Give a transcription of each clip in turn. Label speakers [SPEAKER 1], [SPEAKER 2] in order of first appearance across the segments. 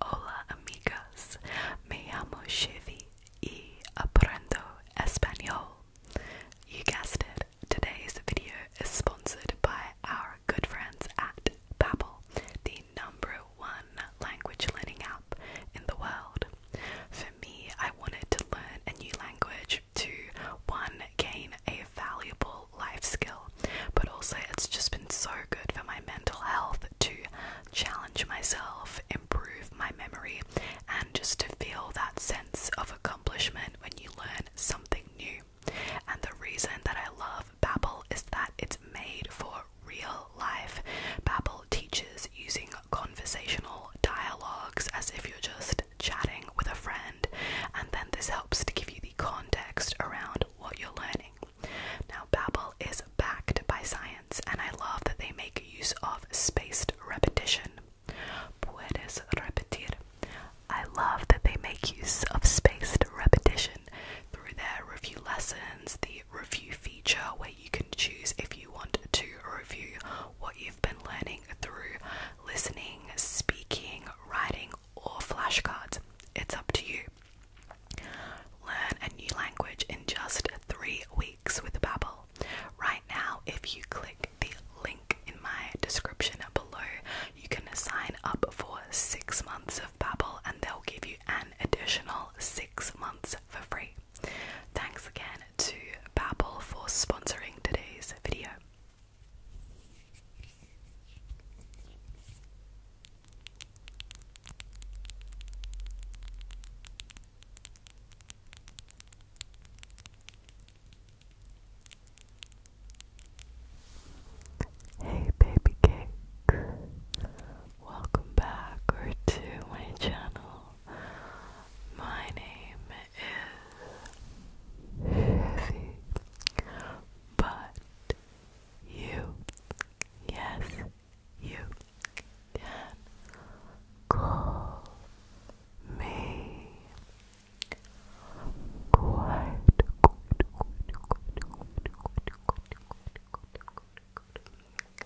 [SPEAKER 1] Hola amigas, me llamo Chevy y aprendo español. You guessed it, today's video is sponsored by our good friends at Babbel, the number one language learning app in the world. For me, I wanted to learn a new language to one, gain a valuable life skill but also it's just been so good for my mental health to challenge myself, improve my memory, and just to feel that sense of accomplishment when you learn something new. And the reason that I love Babbel is that it's made for real life. Babbel teaches using conversational dialogues as if you're just chatting with a friend, and then this helps to give you the context around what you're learning. Now, Babel is backed by science, and I love that they make use of spaced repetition. Puedes repetir. I love that they make use of spaced repetition through their review lessons, the review feature where you can choose if you want to review what you've been learning through listening, speaking, writing, or flashcards. It's up to you. Learn a new language in just three weeks with Babbel. Right now, if you click the link in my description below, you can sign up for six months of Babbel and they'll give you an additional six months for free. Thanks again to Babbel for sponsoring today's video. Hey, baby cake, welcome back to my channel. My name is Chevy, but you, yes, you can call me quite good, good, good, good, good, good,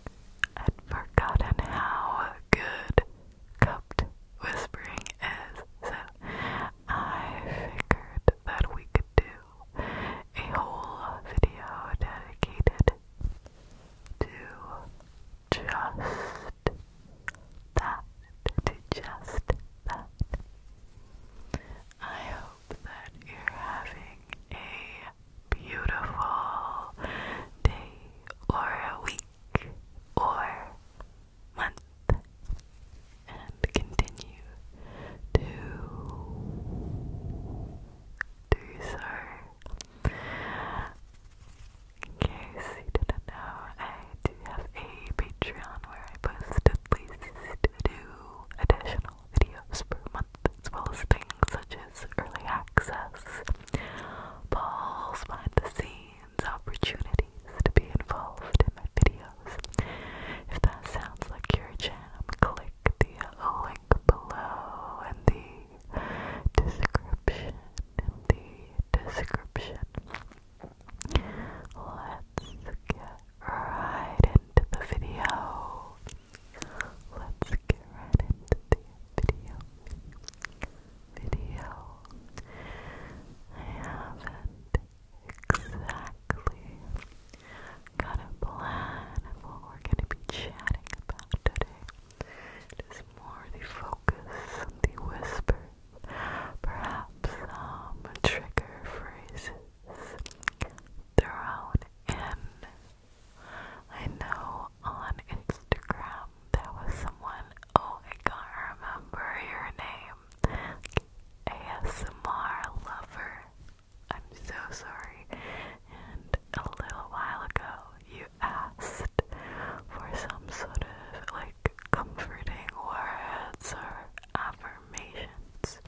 [SPEAKER 1] I'd forgotten how good cupped whispering is, so I figured that we could do a whole video dedicated to just that, to just that. I hope that you're having a beautiful day or a week or month and continue to do so. In case you didn't know, I do have a Patreon where I post at least two additional videos per month, as well as things such as early access, balls behind the scenes, opportunities to be involved in my videos. If that sounds like your jam, click the uh, link below in the description. In the description. Let's get right into the video. Let's get right into the video. Video. I haven't exactly. Got a plan of what we're gonna be chatting about today. It is more the focus on the whisper, perhaps some trigger phrases thrown in. I know on Instagram there was someone, oh I can't remember your name, ASMR lover. I'm so sorry. And a little while ago, you asked for some sort of like comforting words or affirmations.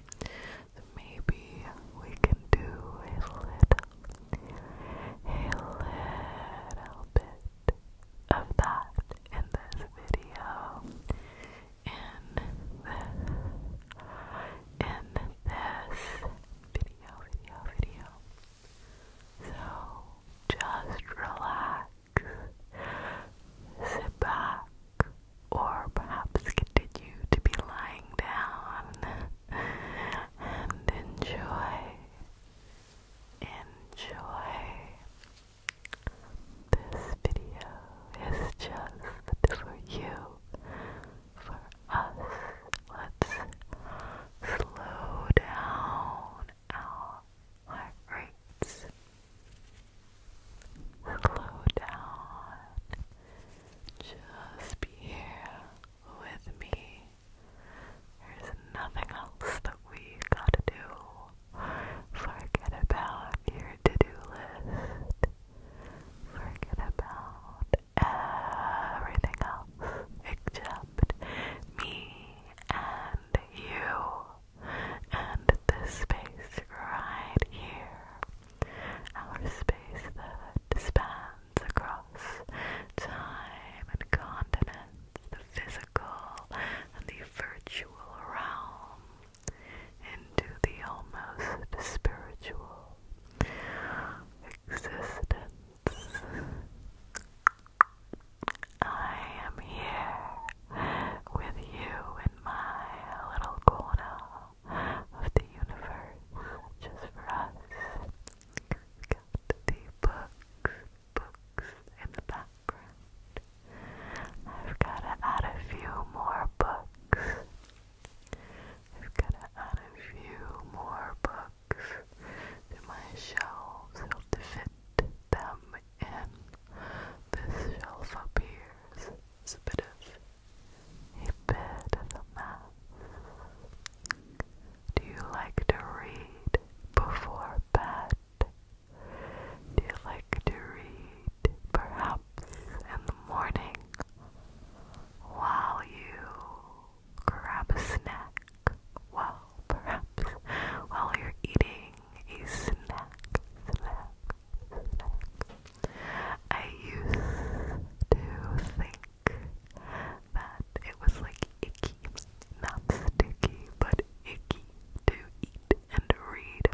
[SPEAKER 1] maybe we can do a little, a little bit of that in this video in this video, video, video. So just relax, sit back, or perhaps continue to be lying down and enjoy, enjoy this video is just for you, for us. Let's slow down our heart rates. Slow down. Just be here with me. There's nothing else that we gotta do. Forget about your to-do list. Forget about everything else except me and you and this space right here. Our space that spans across time and continents, the physical and the virtual realm into the almost spiritual existence. I am here with you in my little corner of the universe, just for us. got the books, books in the back. I've got to add a few more books. I've got to add a few more books to my shelves to fit them in. This shelf up a bit of a mess. Do you like to read before bed? Do you like to read, perhaps in the morning, while you grab a snack? Well, perhaps while you're eating a snack, snack, snack. I used to think that it was like icky, not sticky, but icky to eat and read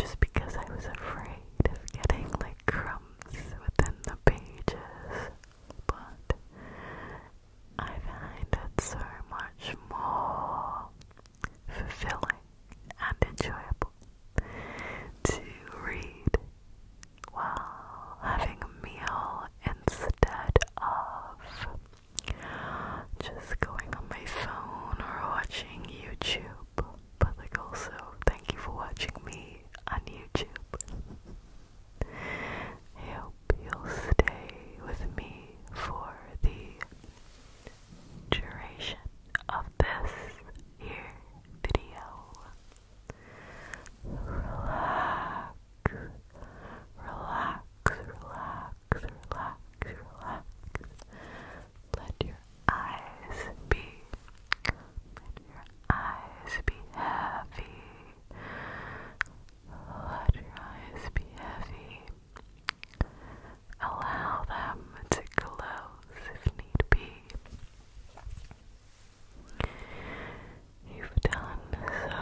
[SPEAKER 1] just because I was afraid of getting like crumbs within the pages, but I find it so much more fulfilling and enjoyable to read while having a meal instead of just going on my phone or watching YouTube. But like also, thank you for watching me on YouTube. I hope you'll stay with me for the duration of this here video. Relax, relax, relax, relax, relax. Let your eyes be, let your eyes be heavy. Let your eyes be heavy. Allow them to close if need be. You've done so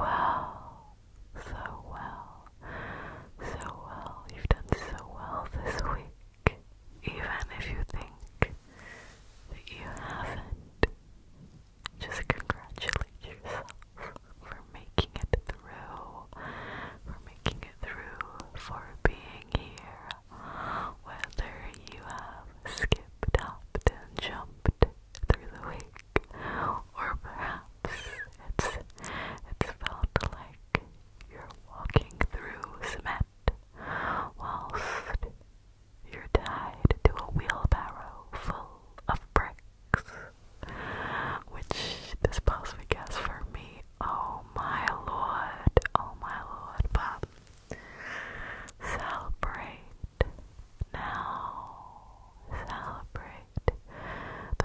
[SPEAKER 1] well, so well so well. You've done so well this week, even if you think that you haven't. Just congratulate yourself for making it through, for making it through, for being here. Whether you have skipped, hopped, and jumped through the week, or perhaps it's it's felt like you're walking through cement whilst you're tied to a wheelbarrow full of bricks. Which this past week for me, oh my lord, oh my lord, but celebrate now, celebrate. The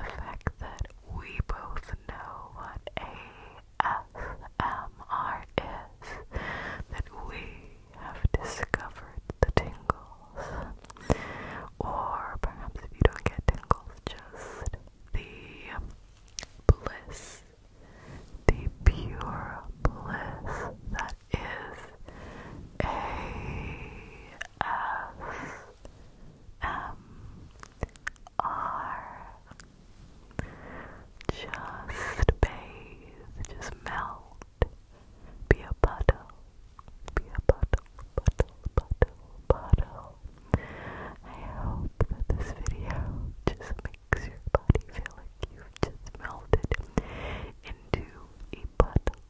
[SPEAKER 1] fact that we both know what ASMR is, that we have discovered the tingles. Or perhaps if you don't get tingles, just the bliss, the pure bliss that is S M um, R. Just bathe, just melt. Be a puddle, be a puddle, puddle, puddle, puddle. I hope that this video just makes your body feel like you've just melted into a puddle,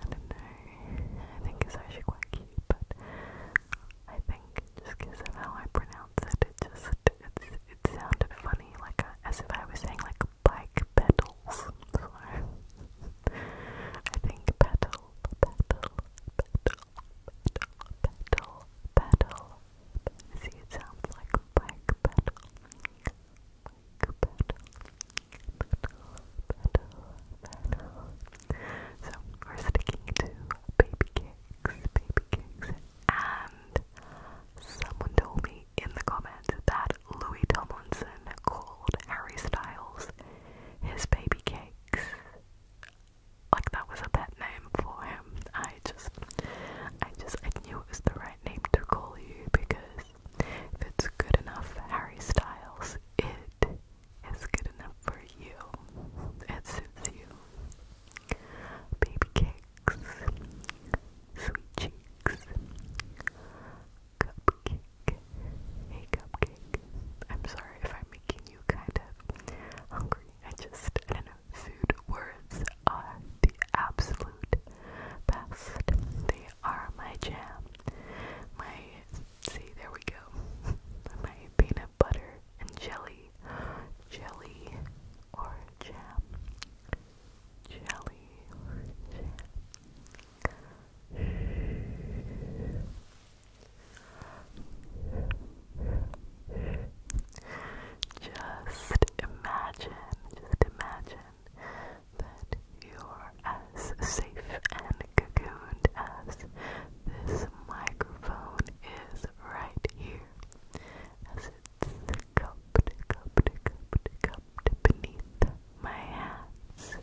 [SPEAKER 1] I don't know. I think it's actually quite cute, but I think just because of how I pronounce it, it just it's, it sounded funny, like a, uh, as if I was saying like bike pedals. So I think pedal, pedal, pedal, pedal, pedal. See, it sounds like bike pedal, bike pedal. So we're sticking to baby cakes, baby cakes, and someone told me in the comments that Louis Tomlinson called Harry Styles his baby cakes. Like that was a pet name for him. I just, I just, I knew it was the right name to call you because if it's good enough, Harry Styles, it is good enough for you. It suits you. Baby cakes, sweet cheeks, cupcake. Hey, cupcake. I'm sorry if I'm making you kind of hungry. I just, I don't know, food words are the absolute best. They are my jam. My See, there we go. My peanut butter and jelly. Jelly or jam. Jelly or jam. Just imagine, just imagine that you're as safe and cocooned as this microphone is right here, as it's cupped, cupped, cupped, cupped beneath my hands.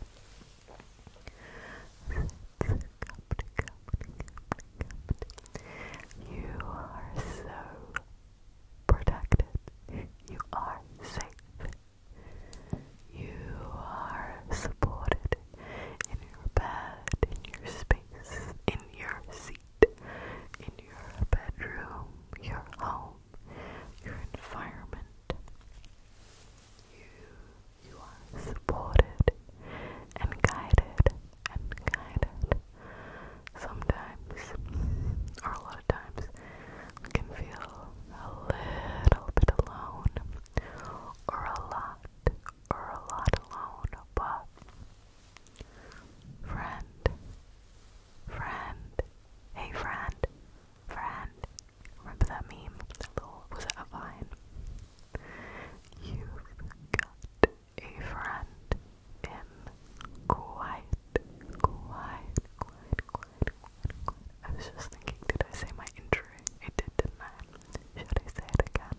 [SPEAKER 1] You are so protected. You are safe. You are supported in your bed, in your space, in your seat, in your bedroom, your home, your environment. You you are supported and guided and guided. Sometimes or a lot of times can feel a little bit alone, or a lot, or a lot alone, but friend, friend, hey friend, friend, remember that meme, that little, was it a vine? You've got a friend in quite, quite, quite, quite, I was just thinking, did I say my intro? I did, didn't I? Should I say it again?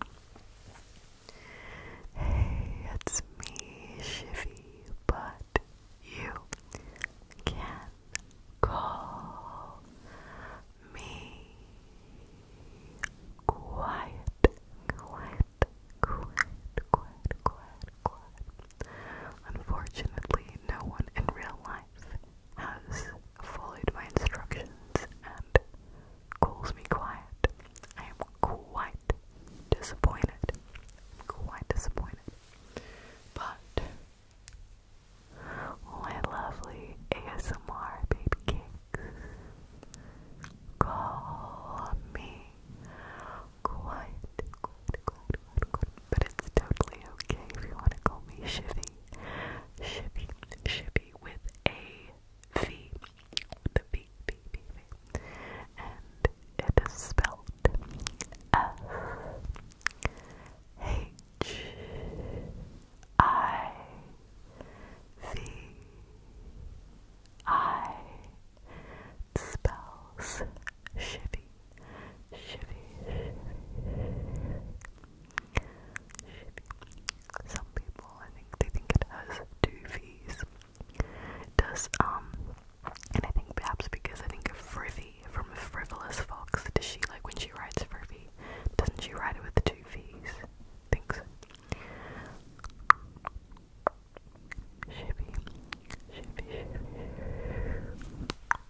[SPEAKER 1] Hey, it's me, Shifty, but you can call me quiet, quiet, quiet, quiet, quiet, quiet. Unfortunately, no one in real life has followed my instructions and calls me quiet. I am quite disappointed. I'm quite disappointed. But my lovely ASMR baby call me quite, quite, quite, but it's totally okay if you want to call me Shivy. Shivy, Shivy with a V, with a V, V, V, V. And it is spelled F H I V I. spells Shivy, shivy, shivy, shivy. Some people, I think, they think it has two V's. It does, um, and I think perhaps because I think of Frivy from a frivolous fox. Does she, like, when she writes Frivy, doesn't she write it with two V's? I think so. Shivy, shivy, shivy.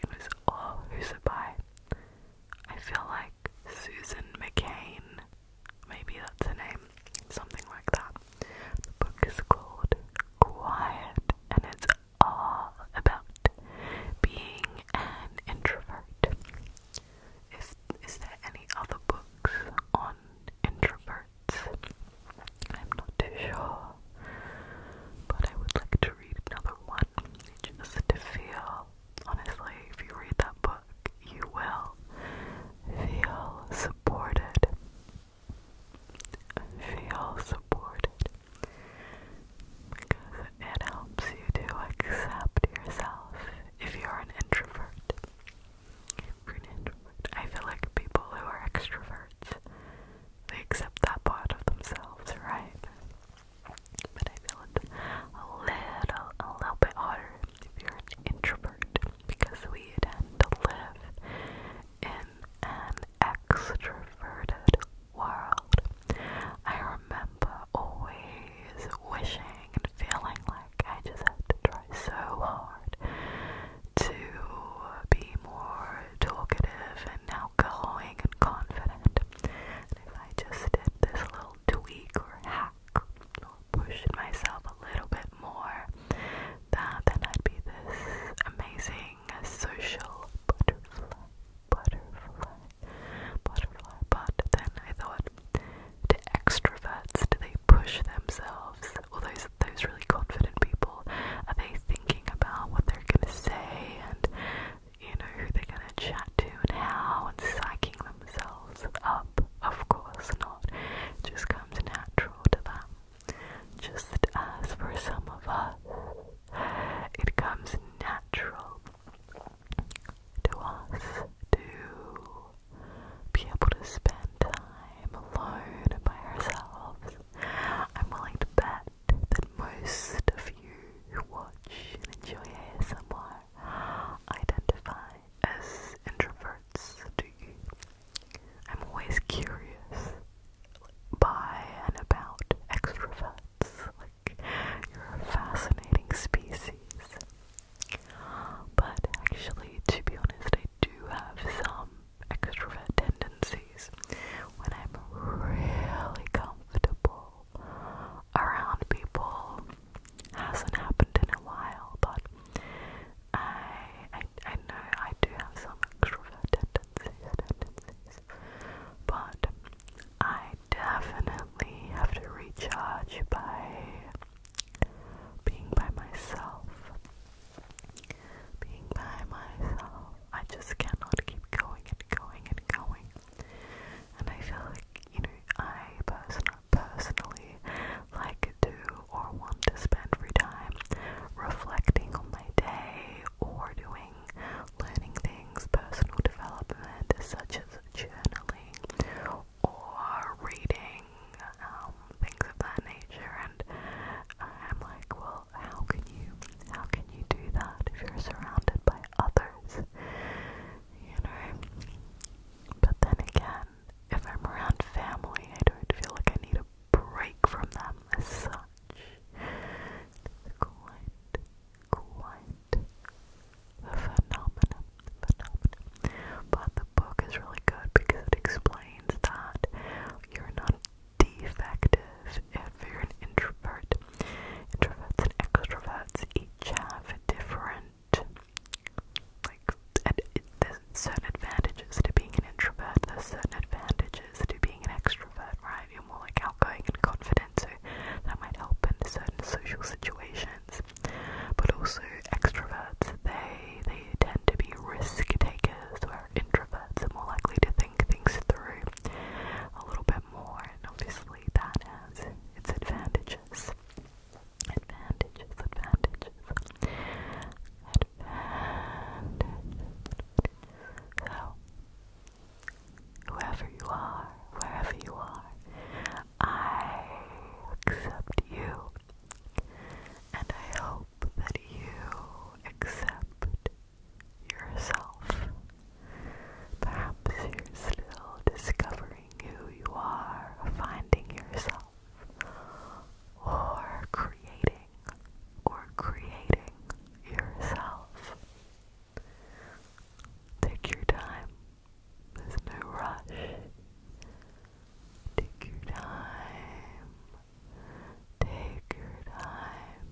[SPEAKER 1] It was all Hoosaby. I feel like Susan McCain. Maybe that's her name. Something like that. The book is called Quiet and it's all about being an introvert. Is, is there any other books on introverts? I'm not too sure, but I would like to read another one just to feel. Honestly, if you read that book, you will feel supported. Feel supported because it helps you to accept yourself If you're an introvert, I feel like people who are extroverts they accept that part of themselves, right? But I feel it's a little, a little bit harder if you're an introvert because we tend to live in an extroverted world. I remember always wishing and feeling like I just had to try so hard to be more talkative and outgoing and confident. if I just did this little tweak or hack pushing myself a little bit more, that then I'd be this amazing social butterfly, butterfly, butterfly. But then I thought, do extroverts do they push themselves? Well, those those really confident people, are they thinking about what they're gonna say and you know who they're gonna chat to and how and psyching themselves up? Of course not. It just comes natural to them. Just as for some of us, it comes natural to us to be able to spend time alone by ourselves I'm willing to bet that most of you who watch and enjoy ASMR identify as introverts, do you? I'm always curious by and about extroverts, like you're a fascinating species. But actually, to be honest, I do have some extrovert tendencies when I'm really comfortable around people. Hasn't happened in a while, but I I know I do have some extrovert tendencies. But I definitely have to recharge by being by myself being by myself, I just cannot keep going and going and going. And I feel like, you know, I person personally like to or want to spend free time reflecting on my day or doing learning things, personal development, such as journaling or reading. Um, things of that nature and I'm like, well, how can you how can you do that if you're surrounded by others? You know? But then again, if I'm around family, I don't feel like I need a break from them as such. quite, quite a phenomenon, phenomenon. But the book is really good because it explains that you're not defective if you're an introvert. Introverts and extroverts each have different, like, there's certain advantages to being an introvert, there's certain advantages to being an extrovert, right? You're more like outgoing and confident, so that might help in certain social situations. But also, extroverts, they, they tend to be risk takers, introverts are more likely to think things through a little bit more, and obviously that has its advantages. Advantages, advantages. Advantages. So, whoever you are, wherever you are, I accept you. And I hope that you accept yourself. Perhaps you're still discovering who you are, finding yourself, or creating, or creating yourself. Take your time. There's no rush. Take your time. Take your time.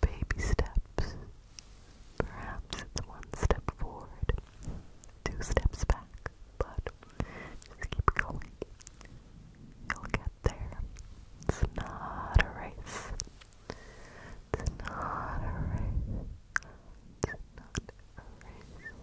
[SPEAKER 1] Baby steps. Perhaps it's one step forward, two steps back, but just keep going. You'll get there. It's not a race. It's not a race. It's not a race.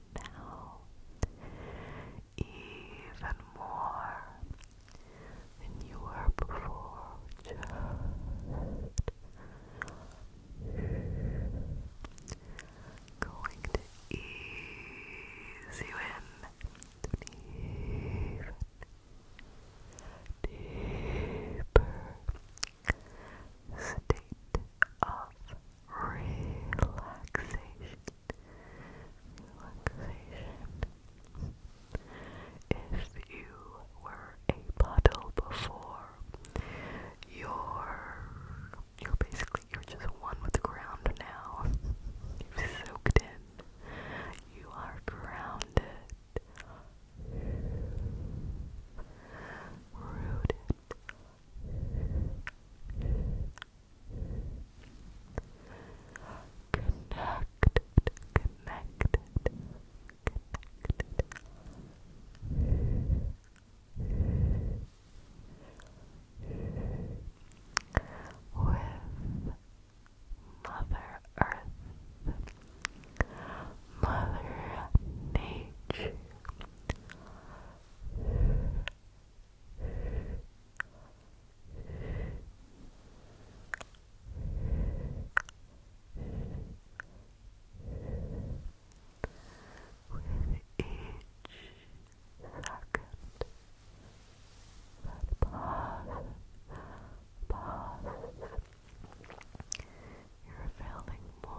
[SPEAKER 1] now even more than you were before. going to ease you in to deeper state of relaxation. Relaxation. If you were a puddle before, you're you're basically you're just one with the ground now. You've soaked in. You are grounded. Rooted Connected, connected, connected. With Mother Earth, Mother Nature, with each second that passes, you're feeling more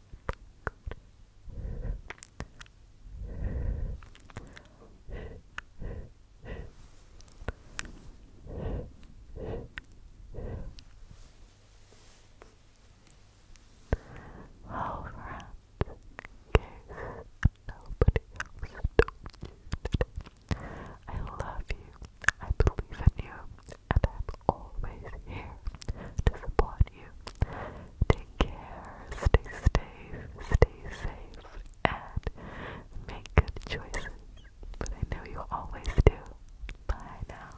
[SPEAKER 1] Oh, friends, in case nobody you I love you, I believe in you, and I'm always here to support you. Take care, stay safe, stay safe, and make good choices. I know you always do. Bye now.